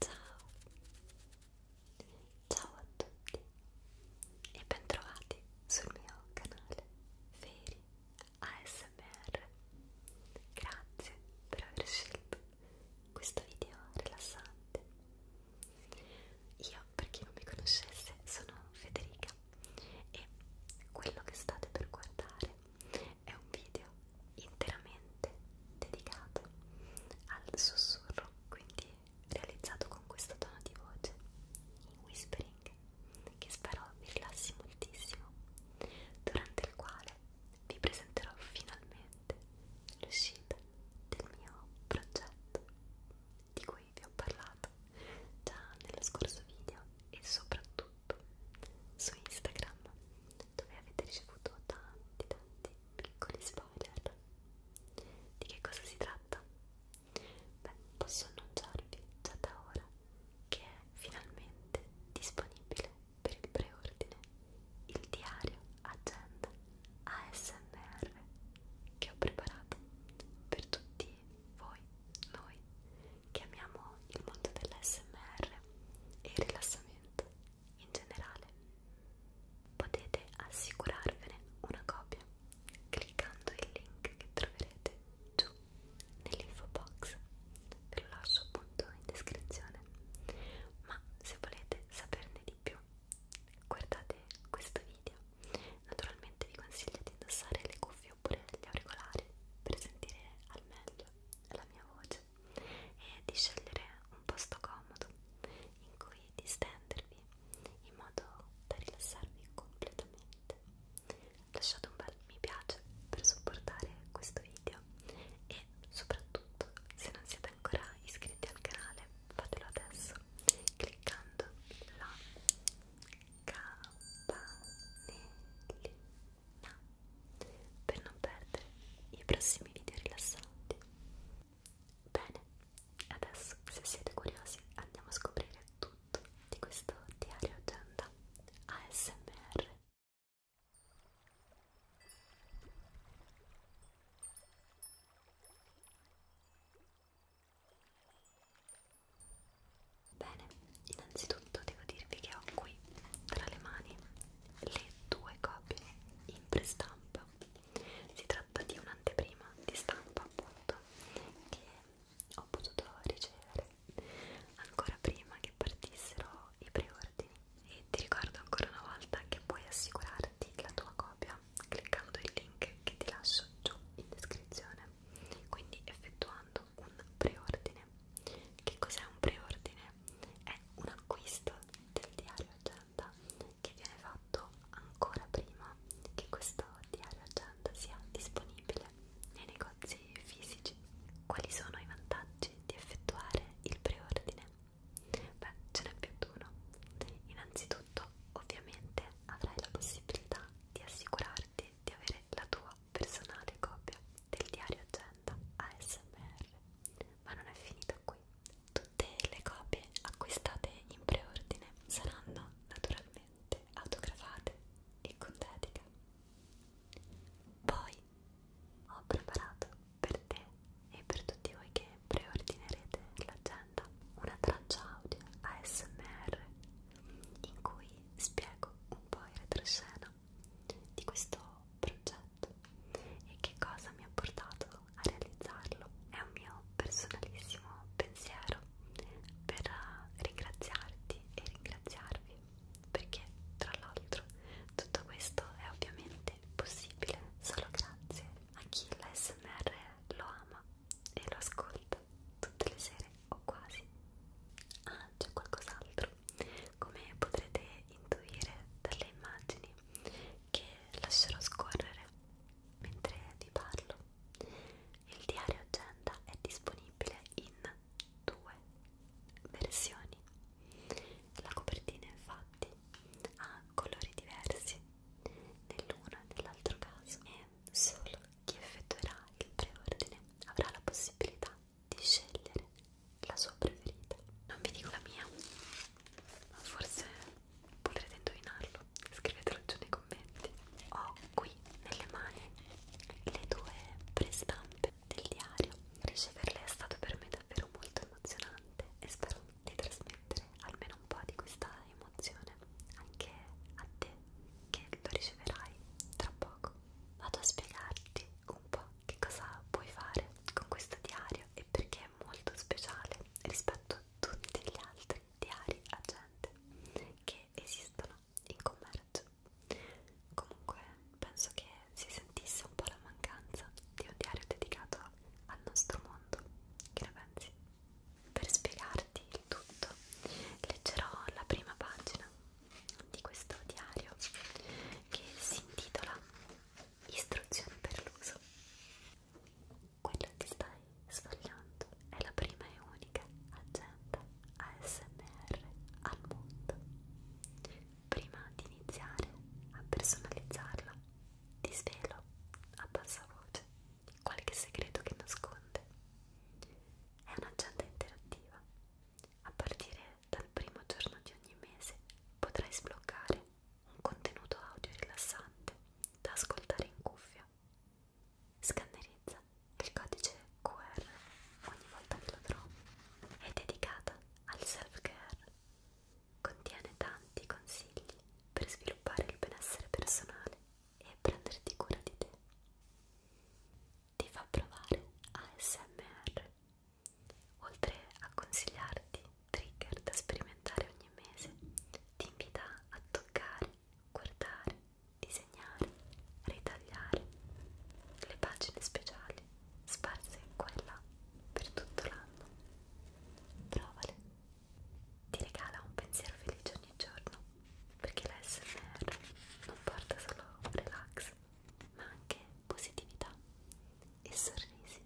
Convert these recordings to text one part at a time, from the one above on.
Ciao! Ciao a tutti e bentrovati sul mio canale Feri ASMR. Grazie per aver scelto questo video rilassante. Io, per chi non mi conoscesse, sono Federica e quello che state per guardare è un video interamente dedicato al sussurro, quindi realizzato con questo tono di voce in whispering che spero vi rilassi moltissimo, durante il quale vi presenterò finalmente l'uscita del mio progetto di cui vi ho parlato già nello scorso video e soprattutto group su Instagram dove avete ricevuto tanti tanti piccoli spoiler. Di che cosa si tratta? Beh, posso annunciarvi già da ora che è finalmente disponibile per il preordine il diario agenda ASMR che ho preparato per tutti voi, noi che amiamo il mondo dell'ASMR e il rilassamento in generale. Potete assicurarvene una copia cliccando il link che troverete giù nell'info box, ve lo lascio appunto in descrizione. Ma se volete saperne di più, guardate questo video. Naturalmente vi consiglio di indossare le cuffie oppure gli auricolari per sentire al meglio la mia voce e di scegliere un posto comodo in cui distendervi in modo da rilassarvi completamente. Lasciate un bel mi piace per supportare questo video e soprattutto se non siete ancora iscritti al canale fatelo adesso cliccando là campanellina per non perdere i prossimi video rilassanti. Bene, adesso se siete curiosi andiamo a scoprire tutto di questo diario agenda ASMR. Bene, innanzitutto devo dirvi che ho qui tra le mani le due copie in prestampa. Si tratta di un'anteprima di stampa appunto che ho potuto ricevere ancora prima che partissero i preordini e ti ricordo ancora una volta che puoi assicurarti la tua copia cliccando il link che ti lascio giù in descrizione quindi effettuando un preordine. Che cos'è un preordine? È un acquisto del diario agenda che viene fatto ancora prima che questo diario agenda sia disponibile nei negozi fisici. Quali sono i vantaggi di effettuare il preordine? Beh, ce n'è più di uno. Innanzitutto, ovviamente, avrai la possibilità di assicurarti di avere la tua personale copia del diario agenda ASMR. Ma non è finita qui. Tutte le copie acquistate in preordine saranno naturalmente autografate e con dedica. Poi ho preparato per te e per tutti voi che preordinerete l'agenda una traccia audio ASMR in cui spiego un po' in retroscena di questo progetto e che cosa mi ha portato a realizzarlo. È un mio personalissimo pensiero per ringraziarti e ringraziarvi perché tra l'altro tutto questo è ovviamente possibile solo grazie a chi l'ASMR lo ama e lo ascolta tutte le sere o quasi. Ah, c'è qualcos'altro. Come potrete intuire dalle immagini che lascerò scorrere mentre vi parlo, il diario agenda è disponibile in due versioni. La copertina infatti ha colori diversi nell'uno e nell'altro caso e solo chi effettuerà il preordine avrà la possibilità di scegliere la sua preferita. Non vi dico la mia, ma forse potrete indovinarlo. Scrivetelo giù nei commenti. Ho qui nelle mani le due prestampe del diario. Riceverle è stato per me davvero molto emozionante e spero di trasmettere almeno un po' di questa emozione anche a te che lo riceverai tra poco. Vado a spiegarti un po' che cosa puoi fare con questo diario e perché è molto speciale rispetto a tutti gli altri diari agente che esistono in commercio. Comunque penso che si sentisse un po' la mancanza di un diario dedicato al nostro mondo. Che ne pensi? Per spiegarti il tutto leggerò la prima pagina di questo diario che si intitola Istruzioni per l'uso. Quello che stai sfogliando è la prima e unica agenda ASMR al mondo. Prima di iniziare a personalizzarla, ti svelo a bassa voce qualche segreto che nasconde. È un'agenda interattiva. A partire dal primo giorno di ogni mese potrai sbloccare un contenuto audio rilassante da ascoltare in cuffia. Scannerizza il codice QR ogni volta che lo trovi. È dedicata al self-care. Contiene tanti consigli per sviluppare il benessere personale e prenderti cura di te. Ti fa provare ASMR, oltre a consigliarti trigger da sperimentare ogni mese, ti invita a toccare, guardare, disegnare, ritagliare le pagine speciali sparse qua e là per tutto l'anno. Provale ti regala un pensiero felice ogni giorno perché l'ASMR non porta solo relax ma anche positività e sorrisi.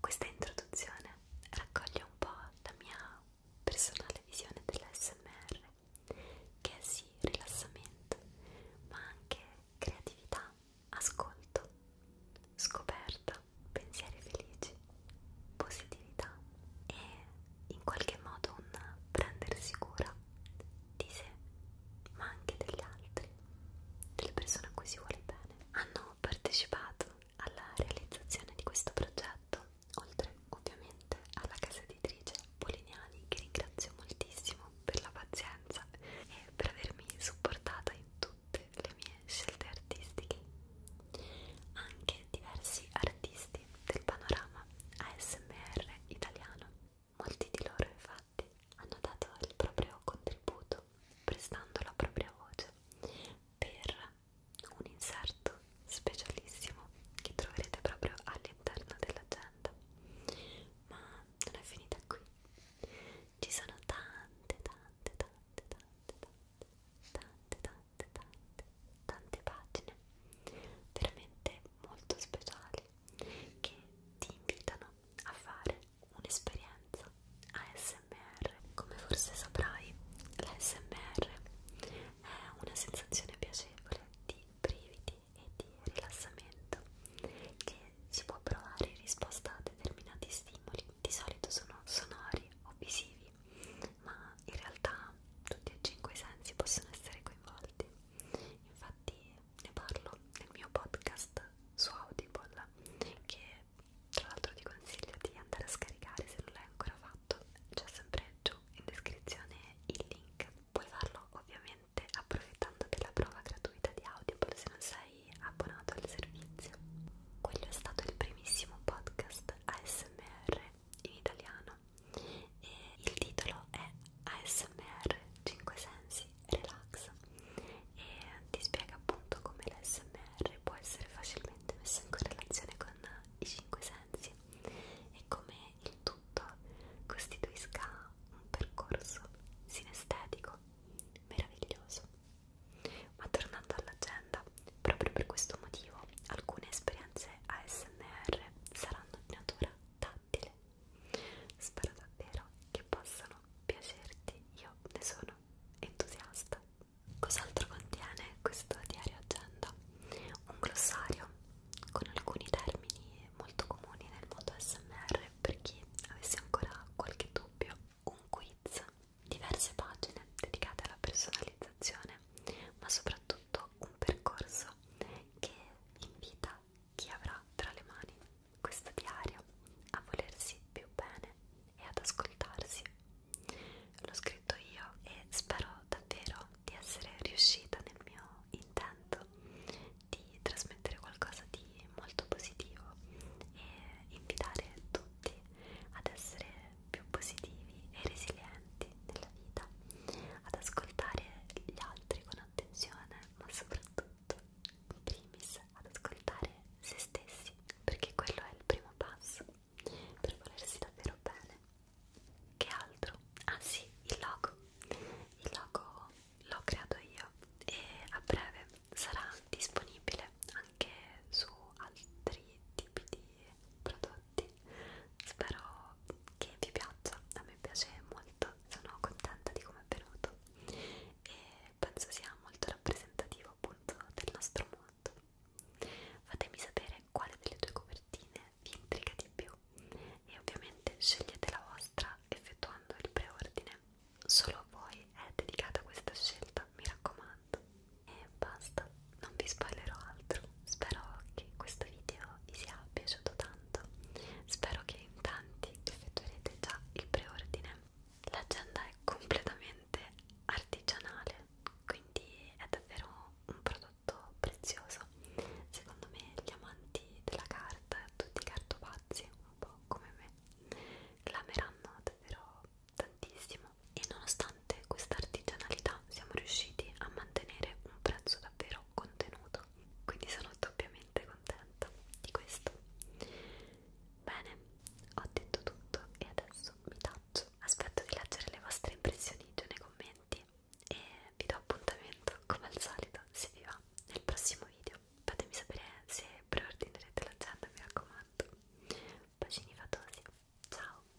Questa introduzione raccoglie un po' la mia personale visione dell'ASMR che è sì rilassamento ma anche creatività, ascolto scoperta, pensieri felici, positività e in qualche modo un prendersi cura di sé, ma anche degli altri, delle persone a cui si vuole bene. Hanno partecipato alla realizzazione di questo progetto, oltre ovviamente alla casa editrice Polignani che ringrazio moltissimo per la pazienza e per avermi supportata in tutto tutte le mie scelte artistiche anche diversi artisti del panorama ASMR italiano. Molti di loro infatti hanno dato il proprio contributo prestando la propria voce per un inserto specialissimo che troverete proprio all'interno dell'agenda. Ma non è finita qui. Ci sono tante, tante, tante, tante, tante tante tante tante tante pagine veramente molto speciali che ti invitano a fare un'esperienza ASMR come forse saprai l'ASMR è una sensazione piacevole di brividi e di rilassamento che si può provare in risposta a determinati stimoli di solito sono sonori o visivi, ma in realtà tutti e cinque i sensi possono essere coinvolti. Infatti ne parlo nel mio podcast su Audible, che tra l'altro ti consiglio di andare a scaricare se non l'hai ancora fatto, c'è sempre giù in descrizione il link. Puoi farlo ovviamente approfittando della prova gratuita di Audible se non sei sei abbonato al servizio. Quello è stato il primissimo podcast ASMR in italiano e il titolo è ASMR 5 sensi relax e ti spiega appunto come l'ASMR può essere facilmente messo in correlazione con i 5 sensi e come il tutto costituisca un percorso sinestetico meraviglioso ma tornando all'agenda, proprio per questo motivo alcune esperienze ASMR saranno di natura tattile. Spero davvero che possano piacerti, io ne sono entusiasta. Cos'altro contiene questo diario agenda? Un glossario con alcuni termini molto comuni nel mondo ASMR per chi avesse ancora qualche dubbio un quiz, diverse pagine dedicate alla personalizzazione, ma soprattutto un percorso che invita chi avrà tra le mani questo diario a volersi più bene e ad ascoltarsi. L'ho scritto io e spero davvero di essere riuscita nel mio intento di trasmettere qualcosa di molto positivo e invitare tutti ad essere più positivi e resilienti nella vita, ad ascoltare gli altri con attenzione, ma soprattutto in primis ad ascoltare se stessi, perché quello è il primo passo per volersi davvero bene. Che altro? Ah sì, il logo. Il logo l'ho creato io e a breve sarà disponibile anche su altri tipi di prodotti spero che vi piaccia a me piace molto sono contenta di come è venuto e penso sia molto rappresentativo appunto del nostro mondo fatemi sapere quale delle due copertine vi intriga di più e ovviamente scegliete la vostra effettuando il preordine solo a voi è dedicata questa scelta mi raccomando e basta non vi spoilerò altro spero che questo video vi sia piaciuto tanto spero che in tanti effettuerete già il preordine l'agenda è completamente artigianale quindi è davvero un prodotto prezioso secondo me gli amanti della carta tutti i cartopazzi un po' come me clameranno davvero tantissimo e nonostante questa artigianalità siamo riusciti a mantenere un prezzo davvero contenuto quindi sono doppiamente contenta di questo bene ho detto tutto e adesso mi taccio aspetto di leggere le vostre impressioni giù nei commenti e vi do appuntamento come al solito se vi va nel prossimo video fatemi sapere se preordinerete l'agenda mi raccomando bacini fatosi ciao